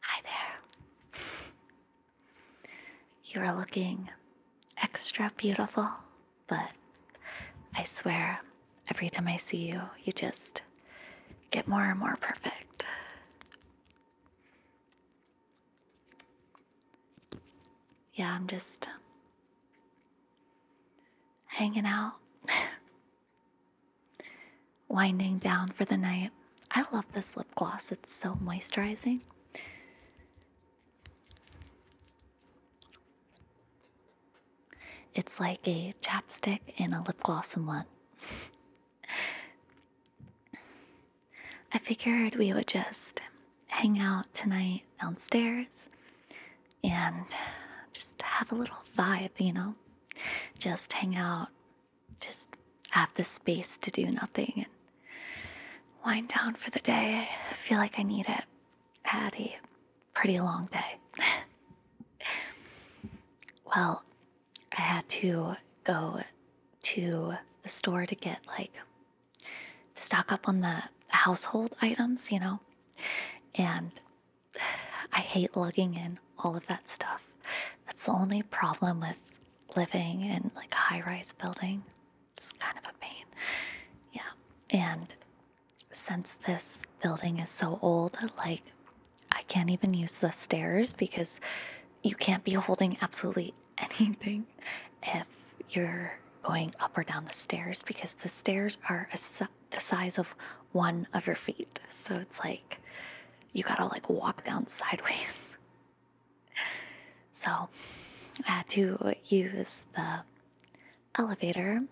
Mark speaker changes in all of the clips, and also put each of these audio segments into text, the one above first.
Speaker 1: Hi there. You're looking extra beautiful, but I swear every time I see you, you just get more and more perfect. Yeah, I'm just hanging out. Winding down for the night. I love this lip gloss, it's so moisturizing. It's like a chapstick and a lip gloss in one. I figured we would just hang out tonight downstairs and just have a little vibe, you know? just hang out, just have the space to do nothing and wind down for the day. I feel like I need it. I had a pretty long day. well, I had to go to the store to get like stock up on the household items, you know. And I hate lugging in all of that stuff. That's the only problem with living in like a high rise building. It's kind of a pain. Yeah. And since this building is so old, like I can't even use the stairs because you can't be holding absolutely anything if you're going up or down the stairs because the stairs are a, the size of one of your feet. So it's like you gotta like walk down sideways. so I had to use the elevator,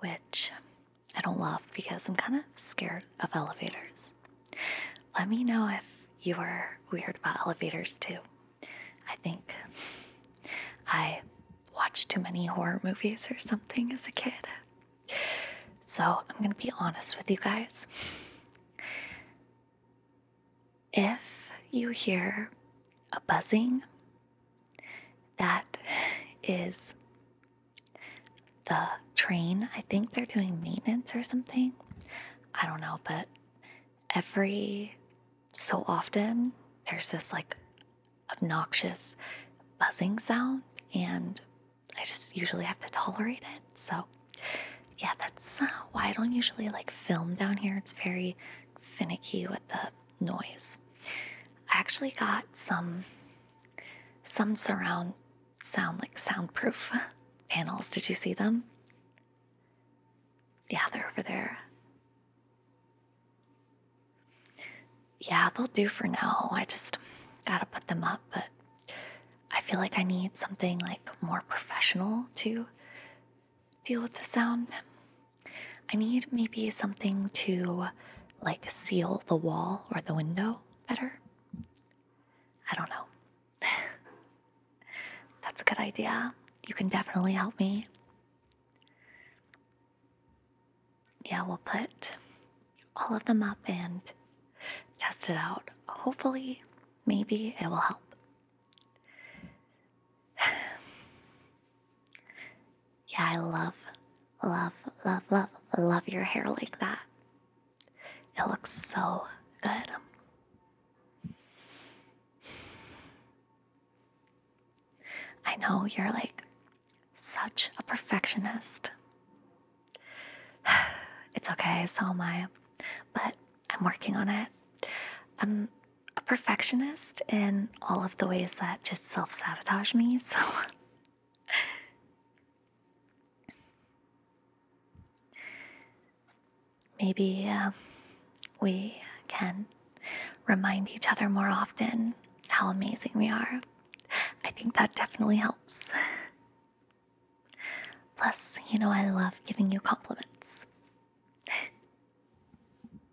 Speaker 1: which I don't love because I'm kind of scared of elevators. Let me know if you are weird about elevators too. I think I watched too many horror movies or something as a kid. So I'm going to be honest with you guys. If you hear a buzzing, that is the train. I think they're doing maintenance or something. I don't know, but every so often there's this like obnoxious buzzing sound and I just usually have to tolerate it. So, yeah, that's uh, why I don't usually like film down here. It's very finicky with the noise. I actually got some some surround sound like soundproof panels. Did you see them? Yeah, they're over there yeah, they'll do for now. I just gotta put them up, but I feel like I need something like more professional to deal with the sound. I need maybe something to like seal the wall or the window better. I don't know. That's a good idea. You can definitely help me yeah, we'll put all of them up and test it out. Hopefully, maybe it will help. yeah, I love, love, love, love, love your hair like that. It looks so good. I know you're like, such a perfectionist. It's okay, so am I, but I'm working on it. I'm um, a perfectionist in all of the ways that just self sabotage me, so. Maybe um, we can remind each other more often how amazing we are. I think that definitely helps. Plus, you know, I love giving you compliments.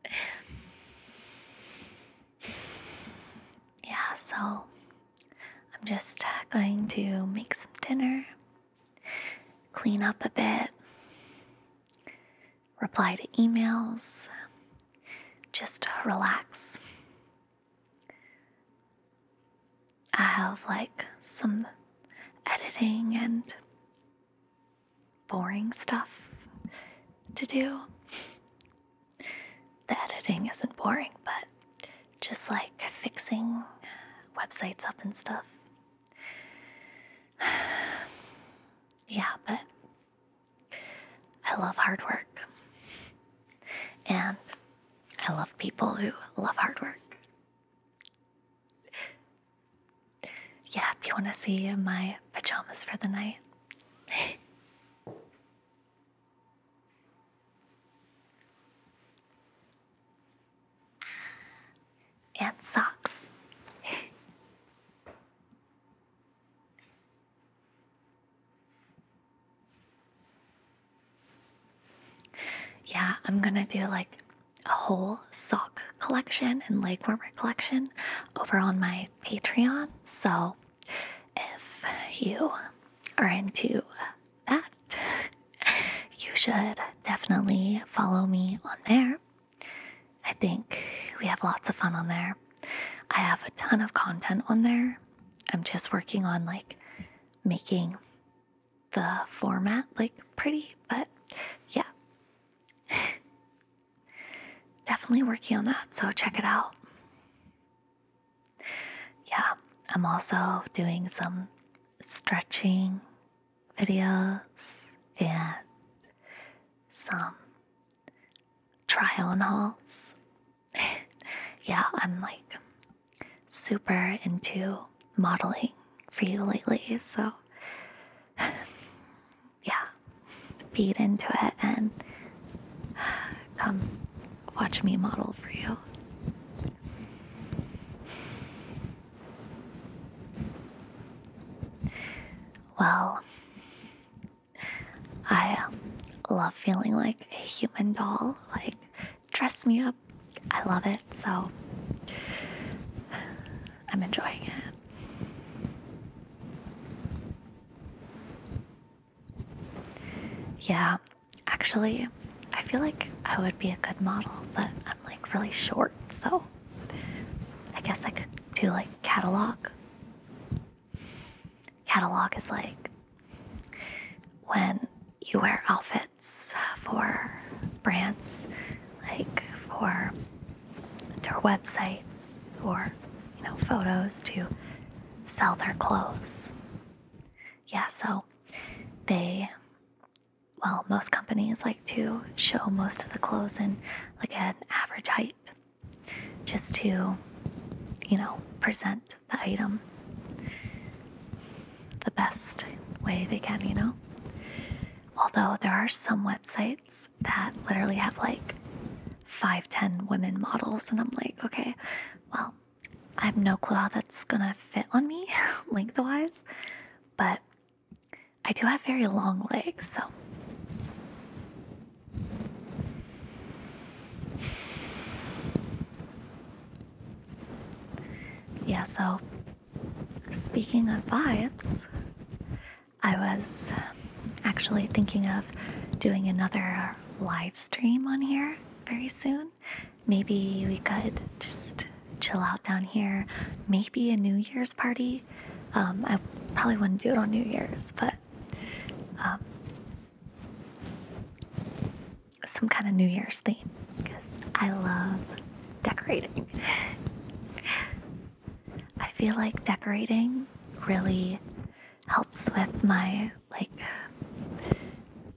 Speaker 1: yeah, so I'm just uh, going to make some dinner, clean up a bit, reply to emails, just uh, relax. I have like some editing and boring stuff to do. The editing isn't boring, but just like fixing websites up and stuff. yeah, but I love hard work. And I love people who love hard work. Yeah, do you want to see my pajamas for the night? and socks. Yeah, I'm gonna do like a whole sock collection and leg warmer collection over on my Patreon. So if you are into that, you should definitely follow me on there. I think we have lots of fun on there. I have a ton of content on there. I'm just working on like making the format like pretty, but yeah. Definitely working on that, so check it out. Yeah, I'm also doing some stretching videos and some try on halls. yeah, I'm like super into modeling for you lately, so yeah, feed into it and come watch me model for you. Well, I um, love feeling like a human doll. Like, dress me up. I love it, so I'm enjoying it. Yeah, actually, I feel like I would be a good model, but I'm like really short, so I guess I could do like catalog. Catalog is like when you wear outfits for brands, like for their websites or you know photos to sell their clothes. Yeah, so they well, most companies like to show most of the clothes in like an average height just to you know present the item the best way they can, you know? Although there are some websites that literally have like five, ten women models, and I'm like, okay, well, I have no clue how that's gonna fit on me lengthwise, but I do have very long legs, so. Yeah, so speaking of vibes, I was um, actually thinking of doing another live stream on here very soon. Maybe we could just chill out down here. Maybe a New Year's party. Um, I probably wouldn't do it on New Year's, but um, some kind of New Year's theme because I love decorating. I feel like decorating really helps with my like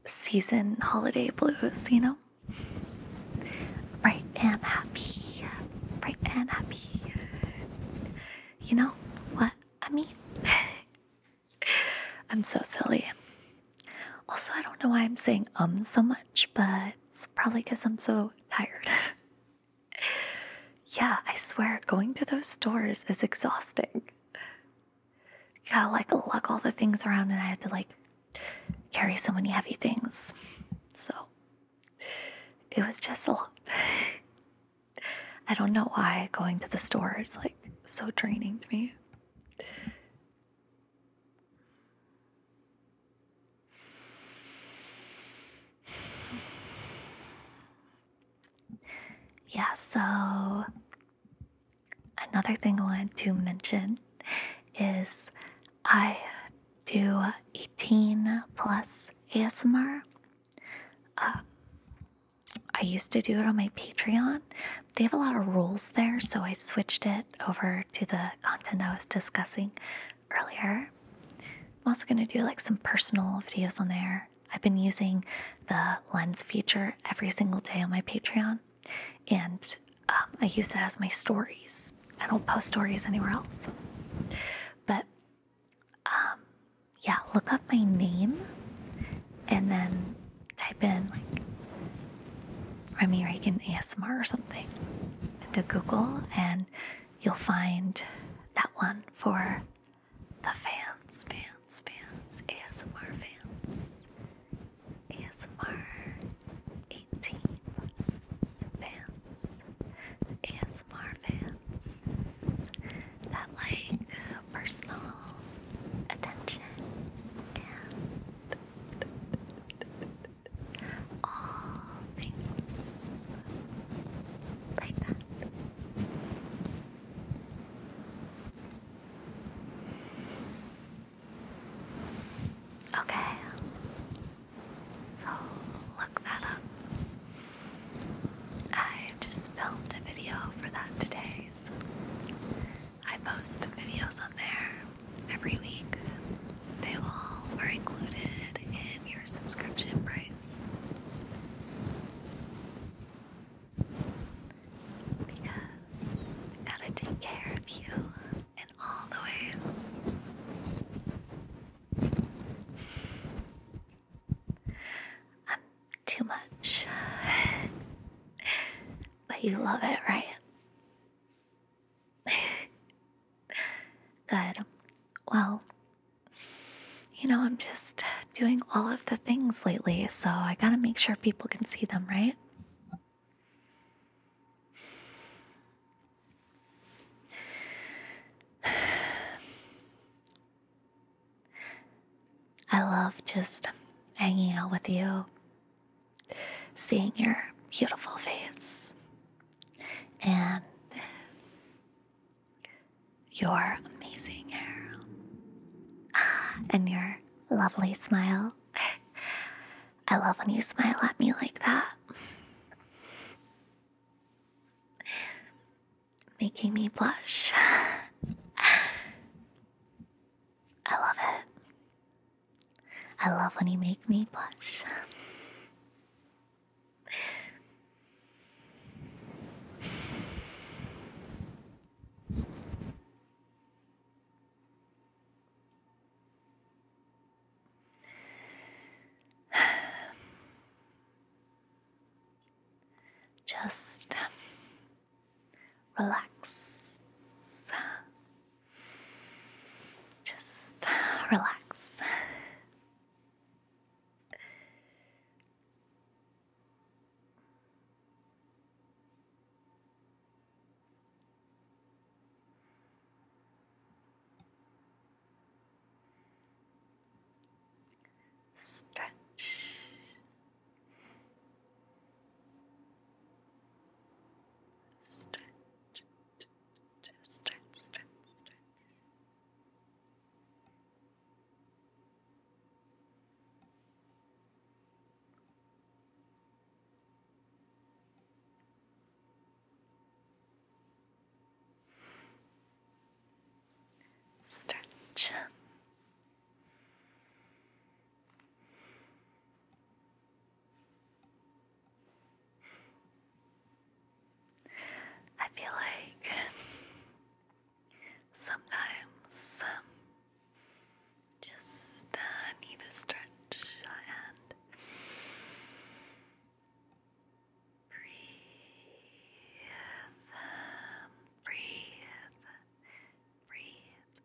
Speaker 1: season holiday blues, you know? Bright and happy, bright and happy. You know what I mean? I'm so silly. Also, I don't know why I'm saying um so much, but it's probably because I'm so tired. yeah, I swear, going to those stores is exhausting. You gotta like lug all the things around, and I had to like carry so many heavy things. So it was just a lot. I don't know why going to the store is like so draining to me. Yeah, so another thing I wanted to mention is I do 18 plus ASMR. Uh, I used to do it on my Patreon. They have a lot of rules there, so I switched it over to the content I was discussing earlier. I'm also going to do like some personal videos on there. I've been using the lens feature every single day on my Patreon, and um, I use it as my stories. I don't post stories anywhere else. But um, yeah, look up my name and then type in like Remy Reagan ASMR or something into Google, and you'll find that one for the fans, fans, fans, ASMR fans, ASMR 18 plus fans, ASMR fans that like personal attention and all things like that. Okay, so look that up. I just filmed a video for that today, so I post videos on there every week. They all are included in your subscription price. Because I gotta take care of you in all the ways too much. but you love it, right? Good. Well, you know, I'm just doing all of the things lately, so I gotta make sure people can see them, right? I love just hanging out with you, seeing your beautiful face, and your amazing hair, and your lovely smile. I love when you smile at me like that. Making me blush. I love it. I love when you make me blush. Just Relax. Just uh, relax. Stretch Stretch, just stretch, stretch, stretch. Stretch. I feel like sometimes um, just uh, need a stretch and breathe, um, breathe, breathe,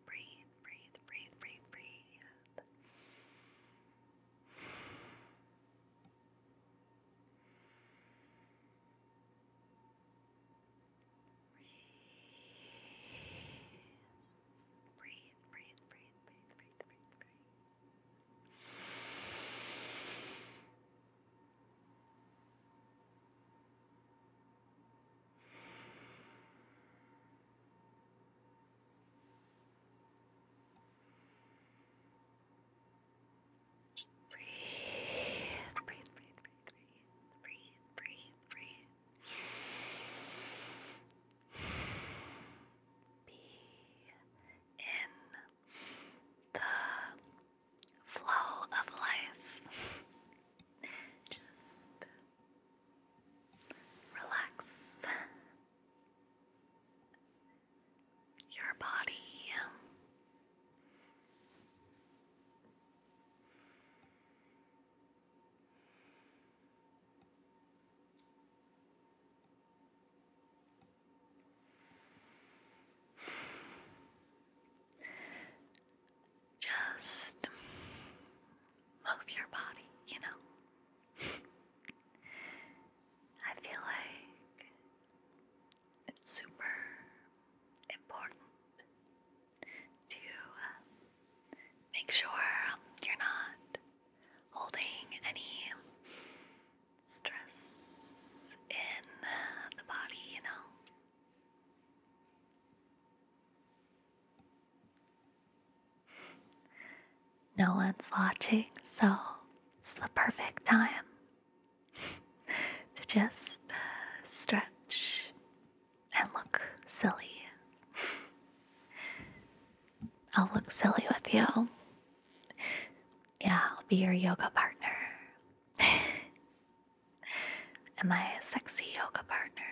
Speaker 1: breathe, breathe, breathe, breathe, breathe. Breathe, breathe, breathe, breathe, breathe, breathe, Breathe, breathe, breathe, breathe, breathe, breathe, breathe, breathe. Be in the flow of life. Just Relax your body just move your body, you know. I feel like it's super important to uh, make sure you're not holding any stress in the body, you know. No one's watching, so it's the perfect time to just uh, stretch and look silly. I'll look silly with you. Yeah, I'll be your yoga partner. Am I a sexy yoga partner?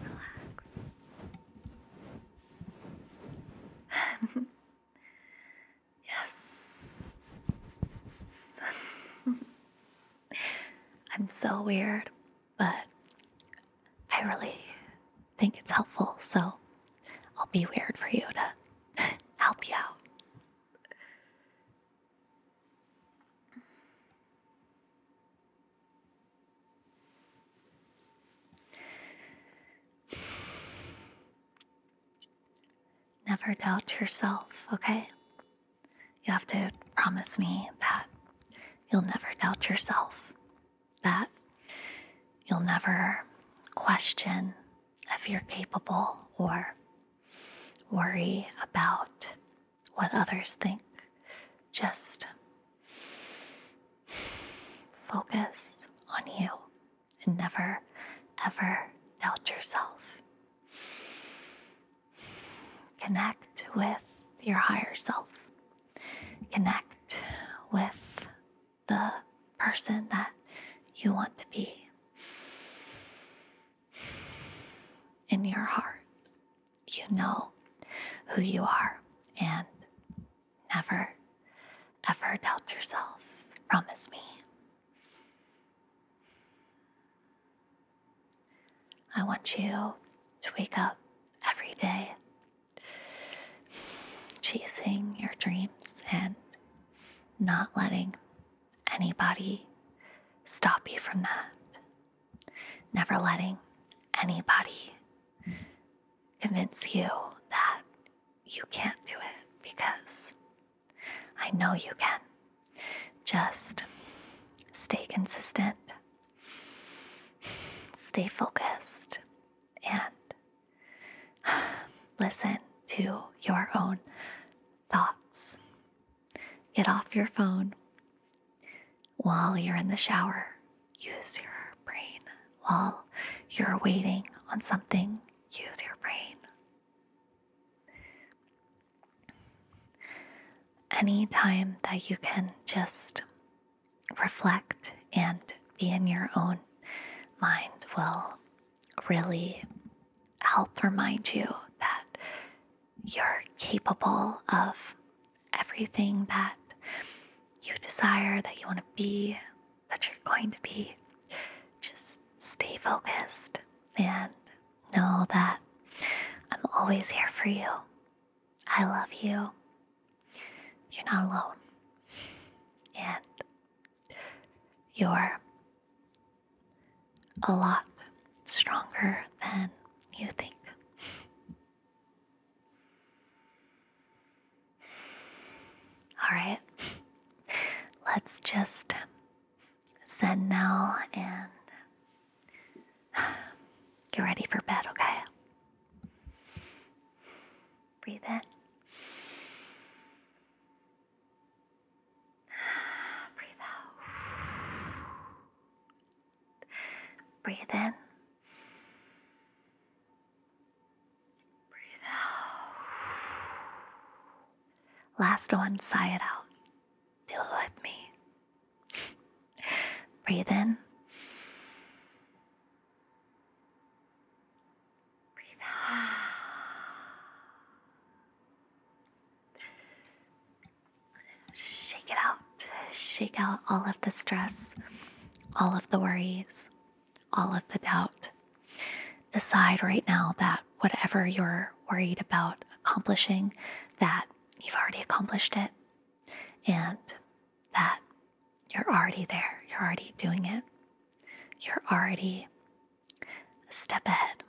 Speaker 1: Relax. yes. I'm so weird, but I really think it's helpful, so I'll be weird for you to help you out. Never doubt yourself, okay? You have to promise me that you'll never doubt yourself, that you'll never question if you're capable or worry about what others think. Just focus on you and never, ever doubt yourself. Connect with your higher self. Connect with the person that you want to be in your heart, you know who you are and never, ever doubt yourself. Promise me. I want you to wake up every day chasing your dreams and not letting anybody stop you from that never letting anybody convince you that you can't do it because I know you can. Just stay consistent, stay focused, and listen to your own thoughts. Get off your phone, while you're in the shower, use your brain. While you're waiting on something, use your brain. Any time that you can just reflect and be in your own mind will really help remind you that you're capable of everything that you desire, that you want to be, that you're going to be. Just stay focused and know that I'm always here for you. I love you. You're not alone. And you're a lot stronger than you think. All right, let's just send now and get ready for bed, okay? Breathe in. Breathe out. Breathe in. Breathe out. Last one, sigh it out. Do it with me. Breathe in. Breathe out. Shake it out. Shake out all of the stress, all of the worries, all of the doubt. Decide right now that whatever you're worried about accomplishing, that you've already accomplished it and that you're already there. You're already doing it. You're already a step ahead.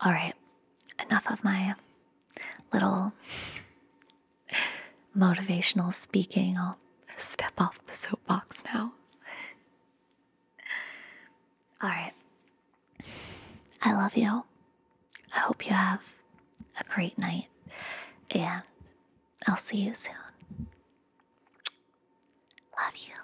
Speaker 1: All right, enough of my little motivational speaking. I'll step off the soapbox now. All right. I love you. I hope you have a great night, and I'll see you soon. Love you.